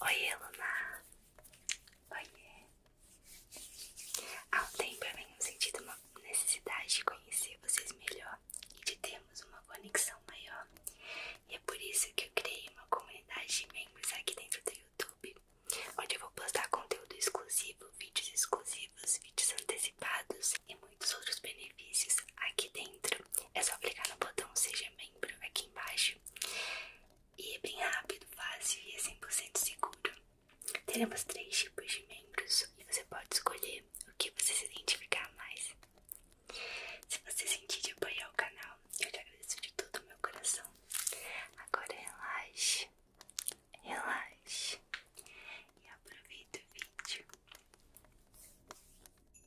Oiê, Luna. Oiê. Há um tempo eu venho sentindo uma necessidade de conhecer vocês melhor e de termos uma conexão maior. E é por isso que eu criei uma comunidade de membros aqui dentro do YouTube, onde eu vou postar conteúdo exclusivo, vídeos exclusivos, vídeos antecipados e muitos outros benefícios aqui dentro. É só clicar no botão Seja Membro membro aqui embaixo. E é bem rápido, fácil e 100% é seguro. Teremos três tipos de membros e você pode escolher o que você se identificar mais. Se você sentir de apoiar o canal, eu te agradeço de todo o meu coração. Agora relaxe, relaxe e aproveite o vídeo.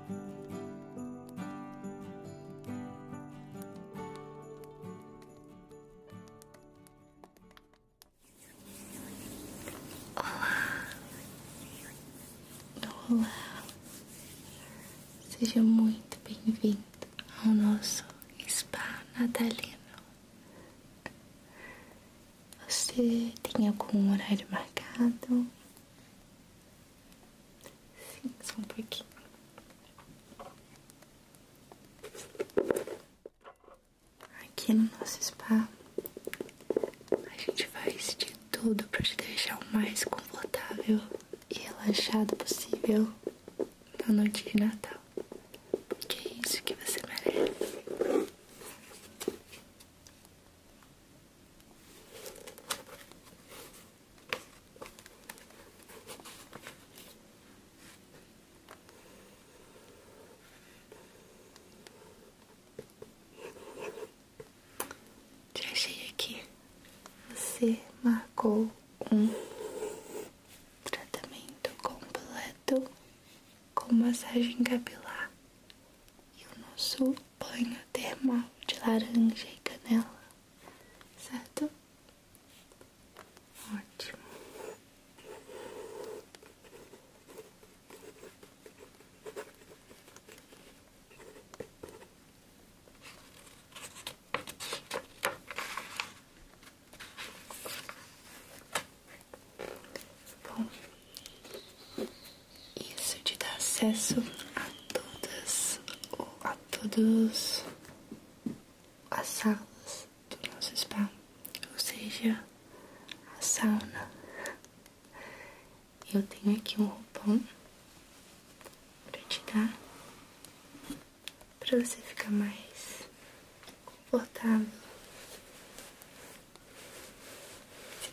Olá, olá, seja muito bem-vindo ao nosso spa natalino. Você tem algum horário marcado? Sim, só um pouquinho. Aqui no nosso spa, a gente faz de tudo para te deixar o mais confortável e relaxado possível na noite de Natal. Porque é isso que você merece. Te achei aqui. Você marcou um tratamento completo com massagem capilar e o nosso banho mal de laranja e canela, certo? Ótimo. Bom, isso te dá acesso a todas a todos as salas do nosso spa, ou seja, a sauna. Eu tenho aqui um roupão para te dar para você ficar mais confortável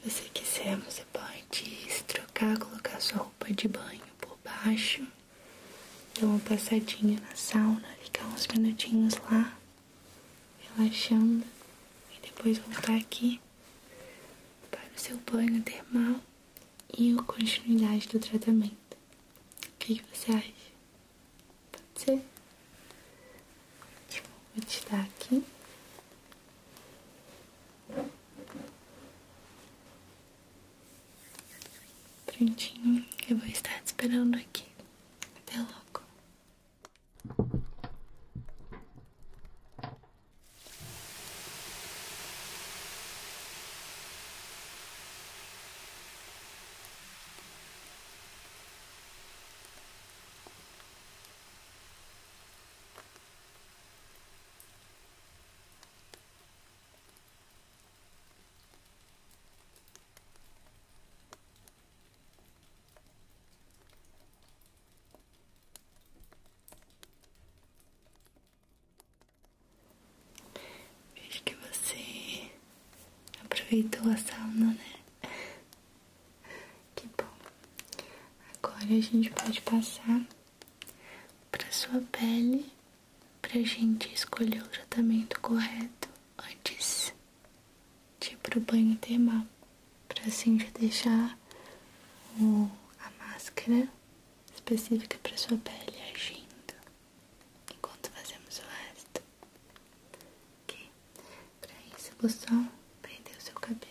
se você quiser, você pode se trocar, colocar sua roupa de banho por baixo, dar uma passadinha na sauna, ficar uns minutinhos lá, relaxando, e depois voltar aqui para o seu banho termal e a continuidade do tratamento. O que, você acha? Pode ser? vou te dar aqui Prontinho, eu vou estar te esperando aqui. Até logo. Vejo que você aproveitou a sauna, né? Que bom. Agora a gente pode passar para sua pele pra gente escolher o tratamento correto antes de pro banho termal, para assim já deixar o, a máscara específica para sua pele agindo enquanto fazemos o resto. Okay. Pra isso, você vou só prender o seu cabelo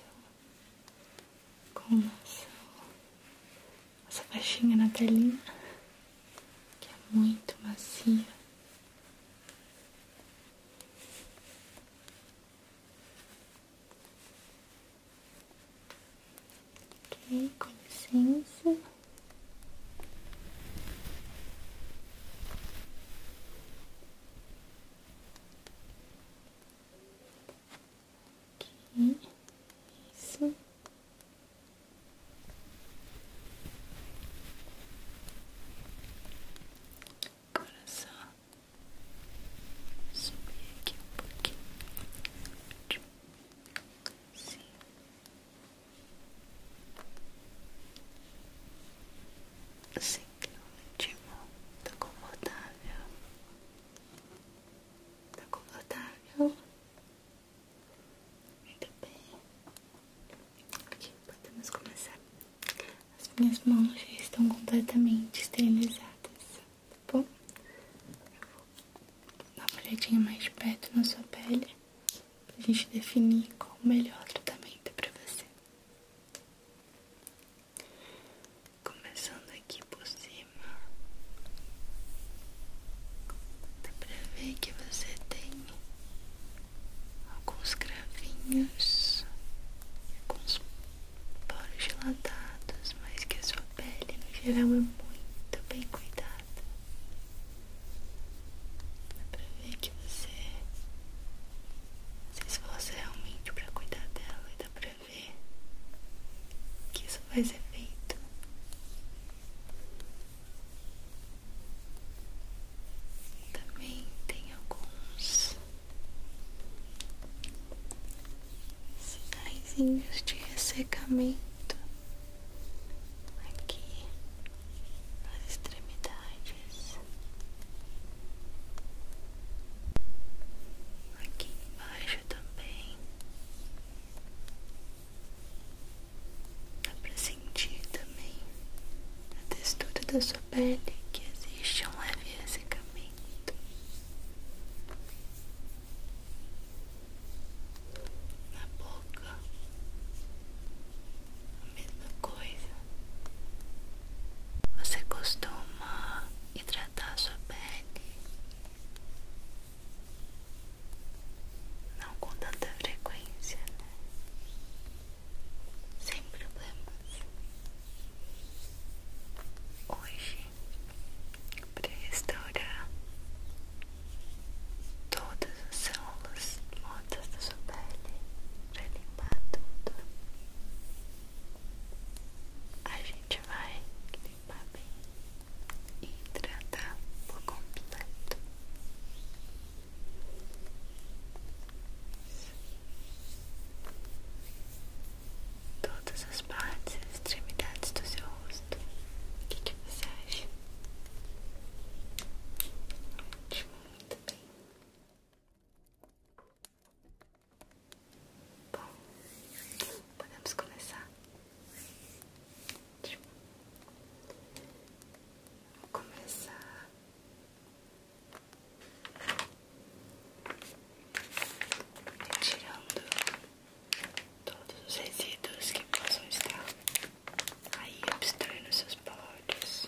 com nosso, nossa faixinha na telinha, que é muito macia. Ok, com licença. Isso. Agora só subir aqui um pouquinho. Sim. Sim. Ótimo, tá confortável. Tá confortável? Muito bem. Aqui podemos começar. As minhas mãos já estão completamente esterilizadas, tá bom? Eu vou dar uma olhadinha mais de perto na sua pele pra gente definir qual o melhor tratamento pra você. Começando aqui por cima, dá pra ver que você tem alguns cravinhos, alguns poros dilatados, mas que a sua pele no geral é muito bem cuidada. Dá pra ver que você se esforça realmente é para cuidar dela e dá pra ver que isso faz efeito. Também tem alguns sinais de ressecamento aqui nas extremidades. Aqui embaixo também. Dá pra sentir também a textura da sua pele que existe um leve ressecamento. Na boca, a mesma coisa. Você costuma hidratar a sua pele? Não com tanta frequência, né? Sem problemas. Hoje, para restaurar todas as células mortas da sua pele, para limpar tudo, a gente vai limpar bem e tratar por completo. Todas as partes e extremidades do seu rosto. O que, que você acha? Ótimo, muito bem. Bom, podemos começar. Vou começar retirando todos os resíduos que possam estar aí obstruindo seus poros.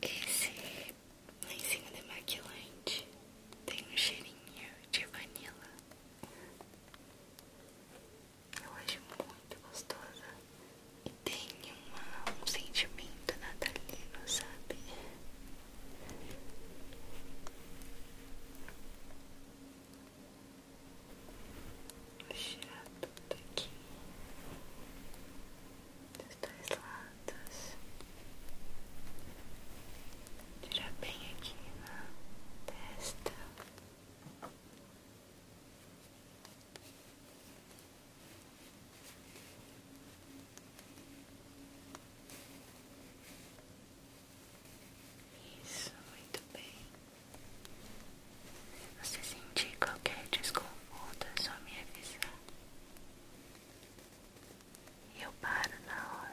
Esse lencinho demaquilante tem um cheirinho de vanila. Eu acho muito gostosa. E tem um sentimento natalino, sabe? Vou tirar tudo aqui dos dois lados. Tirar bem aqui na testa. Isso, muito bem. Você sentir qualquer desconforto mundo, é só minha avisar. E eu paro na hora.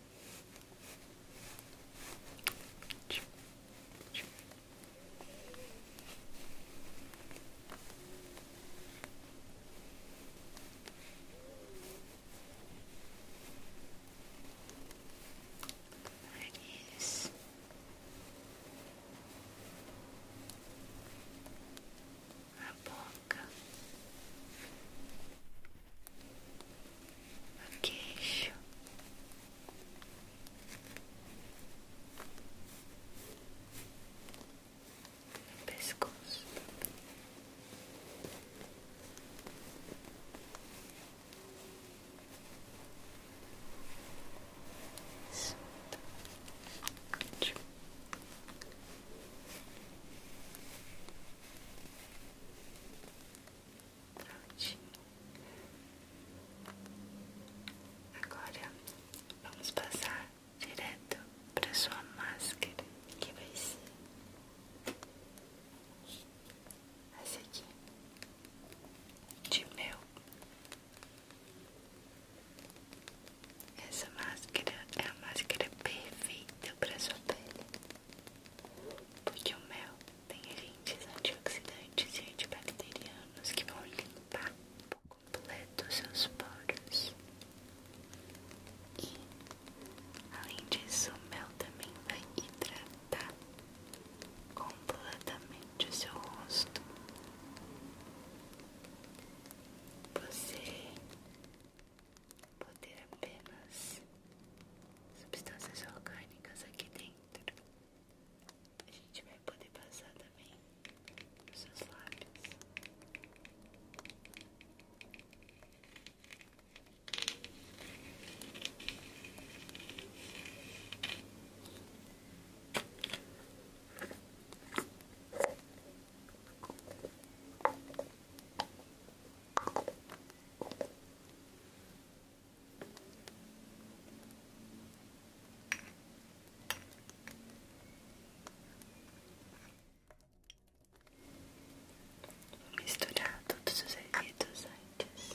Nariz. A boca no queixo. pescoço, Prontinho. Agora vamos passar direto para sua máscara, que vai ser essa aqui de mel. Essa máscara é a máscara perfeita para a sua pele, porque o mel tem agentes antioxidantes e antibacterianos que vão limpar por completo seus poros. E, além disso, o mel também vai hidratar completamente o seu rosto. Você poderá apenas substâncias orgânicas aqui dentro. A gente vai poder passar também nos seus lábios. Vou misturar todos os resíduos antes.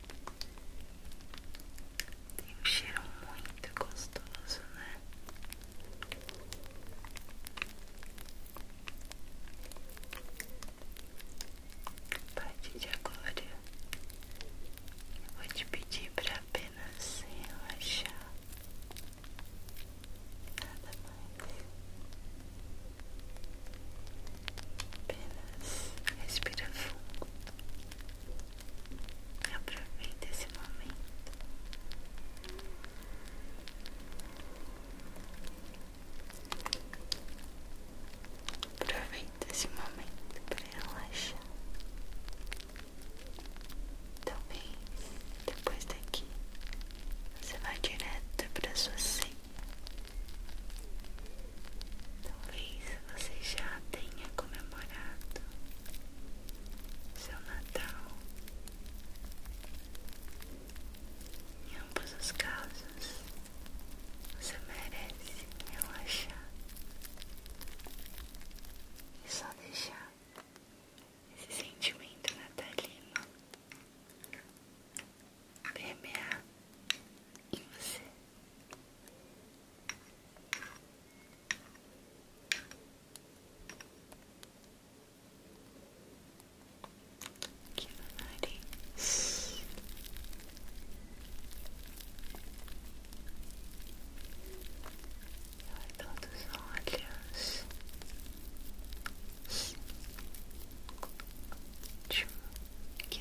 Tem um cheiro muito gostoso, né? A partir de agora, eu vou te pedir para apenas relaxar, nada mais, apenas respira fundo. Aproveita esse momento. Aproveita esse momento para relaxar. Talvez depois daqui você vá direto para sua senha. Talvez você já tenha comemorado seu Natal. Em ambos os casos, você merece relaxar e só deixar esse sentimento natalino permear em você. Aqui no nariz. Ao redor olhos. Ótimo. Aqui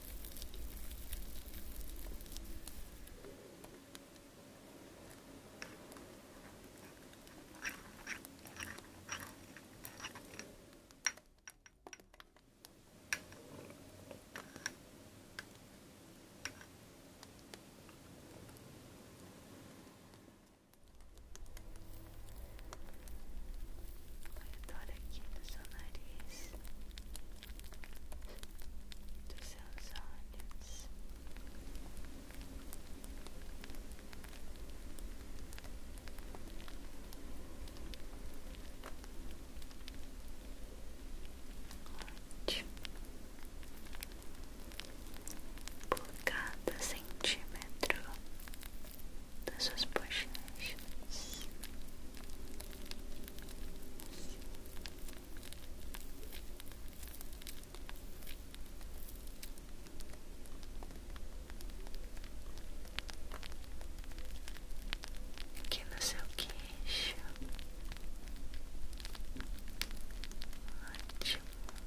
Vai aqui no seu nariz dos seus olhos. Ótimo. Por cada centímetro das suas bochechas, Aqui no seu queixo. Ótimo. Muito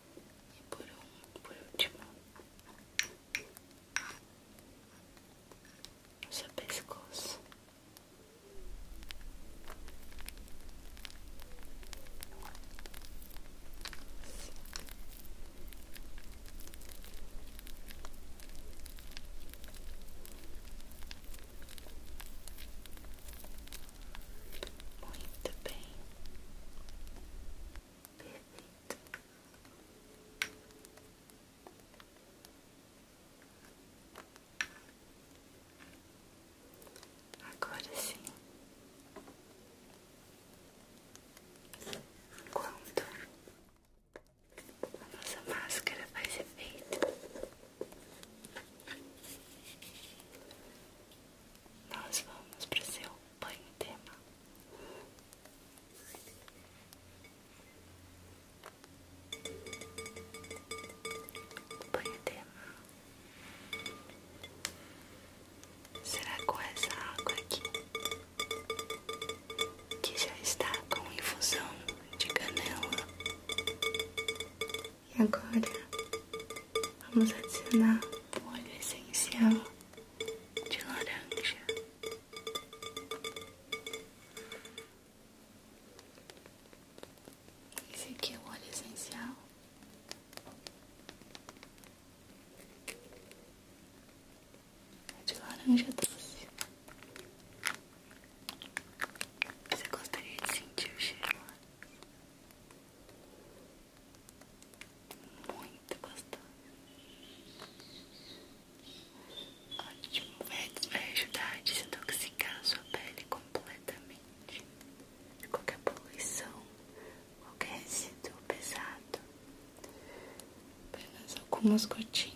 por, último, o seu pescoço. Muito bem. Agora sim, quando a nossa máscara faz efeito, nós vamos para o seu Põe o tema. Põe o tema. Será com essa água aqui? Que já está com infusão de canela. E agora vamos adicionar o óleo essencial de laranja. Esse aqui é o óleo essencial. É de laranja doce. Você gostaria de sentir o cheiro? Muito gostoso. Ótimo. Vai ajudar a desintoxicar a sua pele completamente de qualquer poluição, qualquer resíduo pesado. Apenas algumas gotinhas.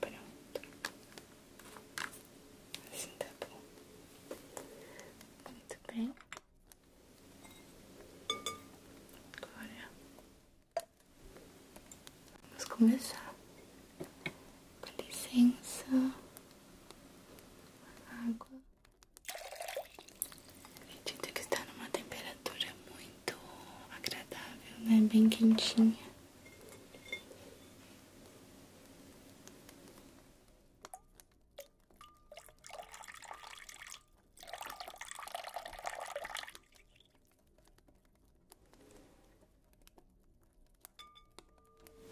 Pronto. Assim tá bom. Muito bem. Agora vamos começar. Com licença. Água. A que está numa temperatura muito agradável, né? Bem quentinha.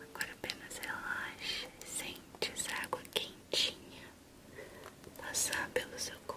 Agora apenas relaxe, sente essa água quentinha passar pelo seu corpo.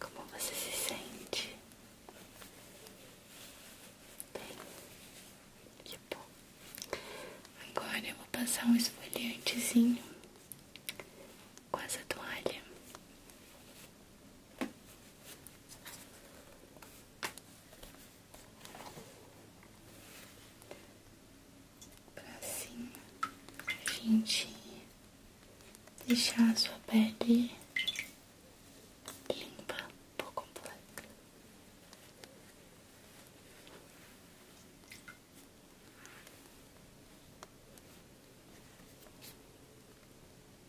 Como você se sente? Bem, que bom. Agora eu vou passar um esfoliantezinho com essa toalha. Pra assim a gente deixar a sua pele limpa por completo.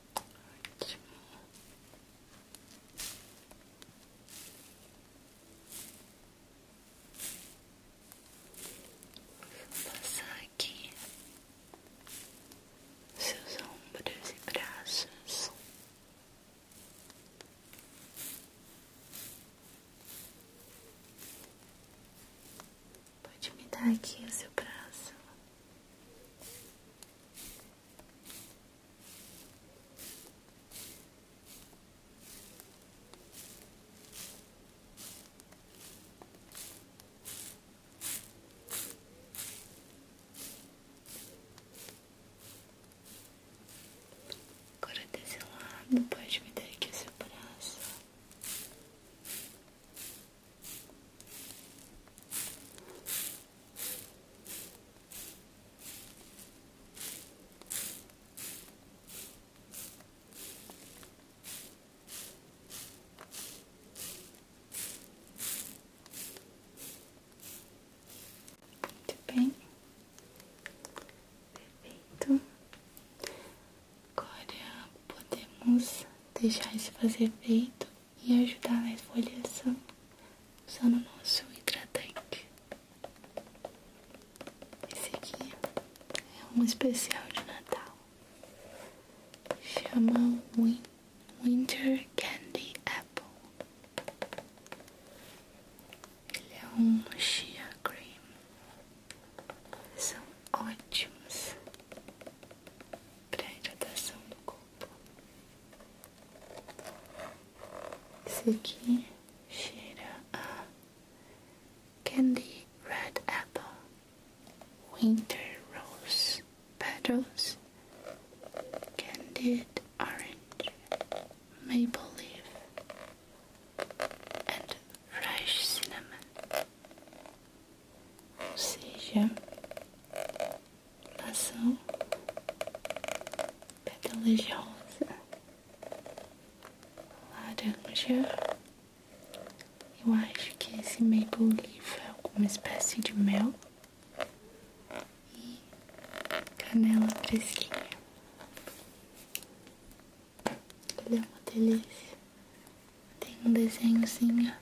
Ótimo. Vou passar aqui seus ombros e braços. Pode me dar aqui o seu braço. Agora desse lado, pode me dar aqui o seu braço. Muito bem, perfeito. Agora podemos deixar isso fazer efeito e ajudar na esfoliação usando o nosso hidratante. Esse aqui é um especial de Natal. Chama Winter Candy Apple. Ele é um chia cream. São ótimos para hidratação do corpo. Suki, aqui Candy Red Apple Winter Rose Petals Candied Orange Maple Leaf and Fresh Cinnamon. Ou seja, maçã, pétalas de rosa, laranja. Eu acho que esse maple leaf é alguma espécie de mel e canela fresquinha. Ele é uma delícia. Tem um desenhozinho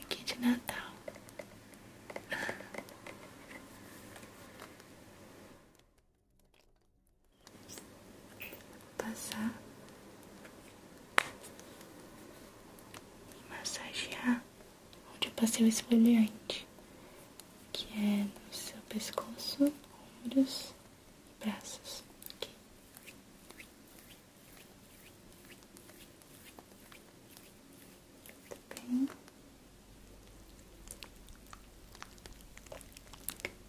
Aqui de Natal. Passar e massagear onde eu passei o esfoliante, que é no seu pescoço, ombros e braços. Tá bem.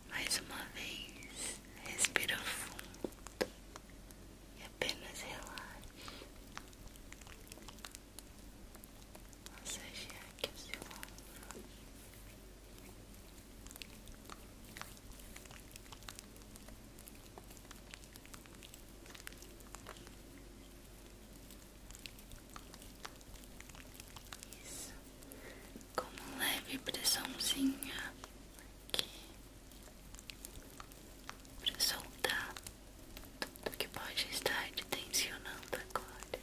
Mais uma vez, respira fundo e apenas relaxe. Massagear aqui o seu isso, com uma leve pressãozinha aqui para soltar tudo que pode estar te tensionando agora.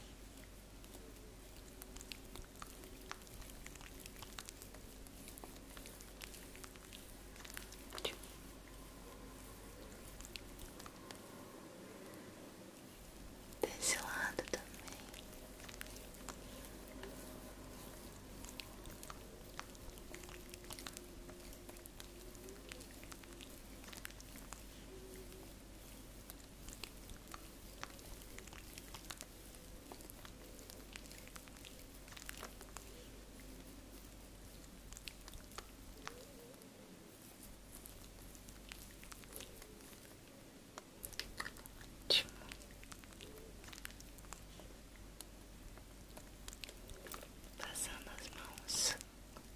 Desse lado também. Muito Ótimo. Passando as mãos,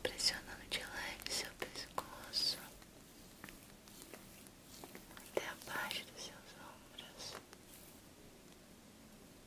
pressionando de leve seu pescoço até a parte dos seus ombros.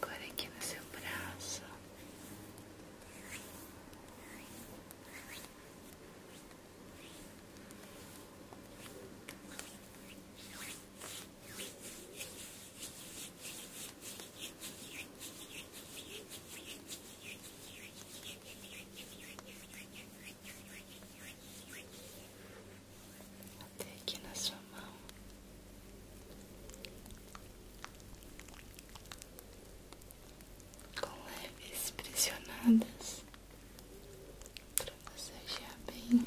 Agora aqui no seu braço. Até aqui na sua mão. Com leves pressionadas para massagear bem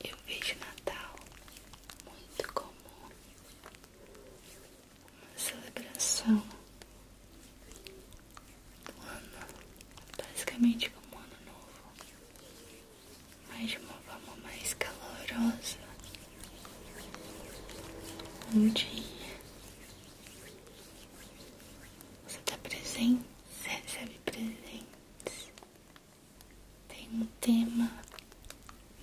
Eu vejo Natal muito comum, uma celebração do ano, basicamente como ano novo mais de uma forma mais calorosa. um dia você dá tá presentes recebe presentes. Tem um tema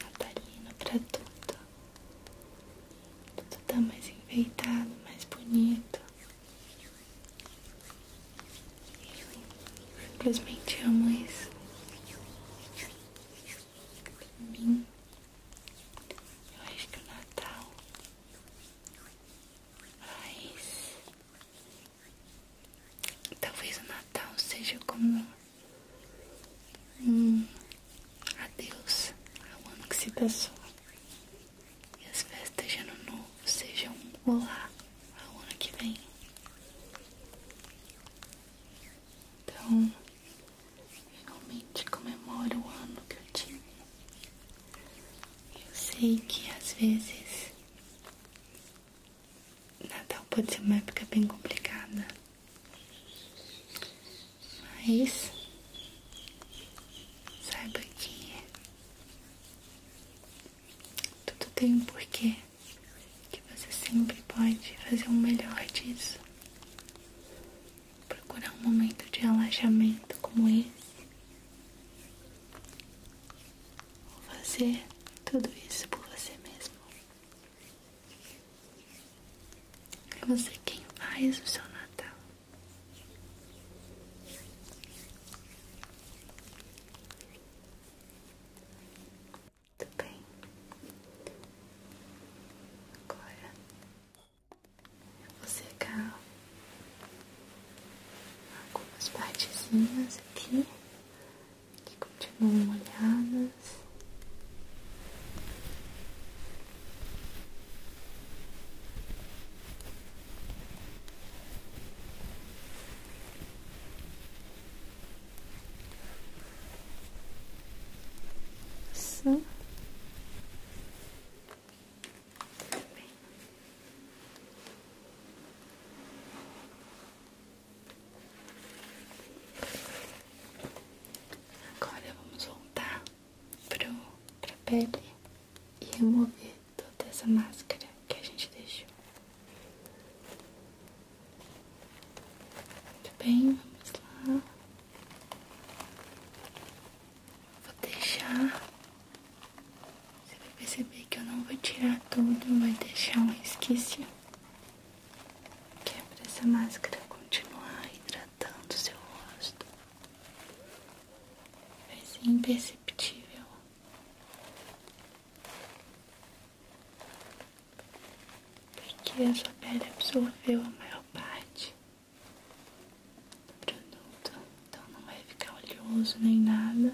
natalino para tudo. Tudo tá mais enfeitado, mais bonito. Simplesmente amo isso eu acho que o Natal mas talvez o Natal seja como um adeus ao ano que se passou e as festas de ano novo sejam um olá ao ano que vem. Então, realmente comemoro o ano que eu tive. Eu sei que às vezes Natal pode ser uma época bem complicada. Mas saiba que tudo tem um porquê que você sempre pode fazer o melhor disso. Procurar um momento de relaxamento como esse. Ou fazer tudo isso por você mesmo. É você quem faz o seu Natal. Muito bem. Agora vou secar algumas partezinhas aqui que continuam molhadas. Assim. Agora vamos voltar para pele e remover toda essa máscara que a gente deixou. Muito bem, vamos lá. Vou deixar. Você vai perceber que eu não vou tirar tudo, vai deixar um resquício. Que é pra essa máscara continuar hidratando o seu rosto. Vai ser imperceptível porque a sua pele absorveu a maior parte do produto, então não vai ficar oleoso nem nada.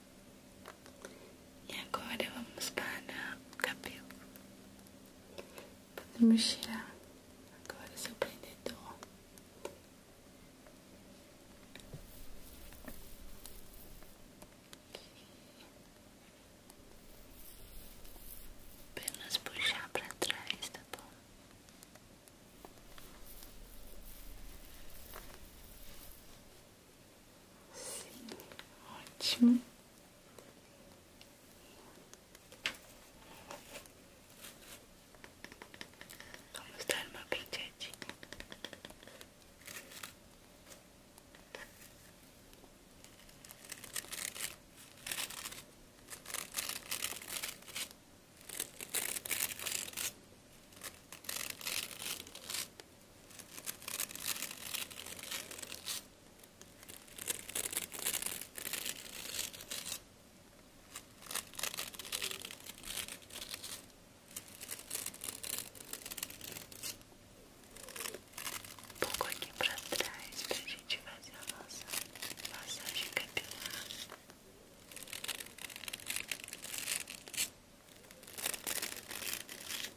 E agora vamos para o cabelo. Podemos tirar agora o seu prendedor. Apenas puxar para trás, tá bom? Sim, ótimo. Vamos dar uma penteadinha. Um pouco aqui pra trás pra gente fazer a nossa massagem capilar. Vamos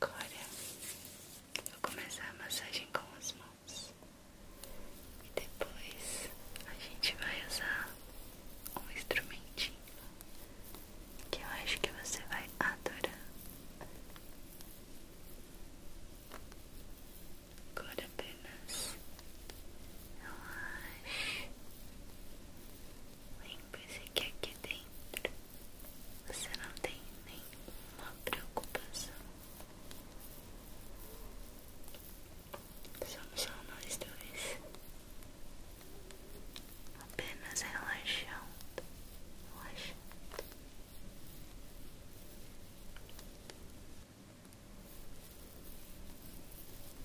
Agora vou começar a massagem com as mãos e depois a gente vai usar um instrumentinho que eu acho que você vai adorar. Agora apenas relaxe vem se que aqui dentro você não tem nenhuma preocupação. Somos só nós dois. Apenas relaxando. Relaxando.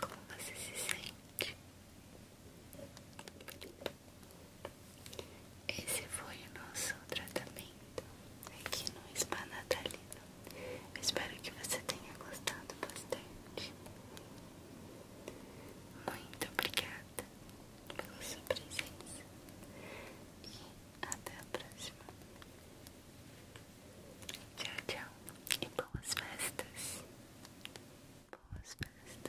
Como você se sente? Esse foi o nosso tratamento aqui no Spa Natalino. espero que você tenha gostado bastante. Muito obrigada pela sua presença e até a próxima. Tchau, tchau. E boas festas. Boas festas.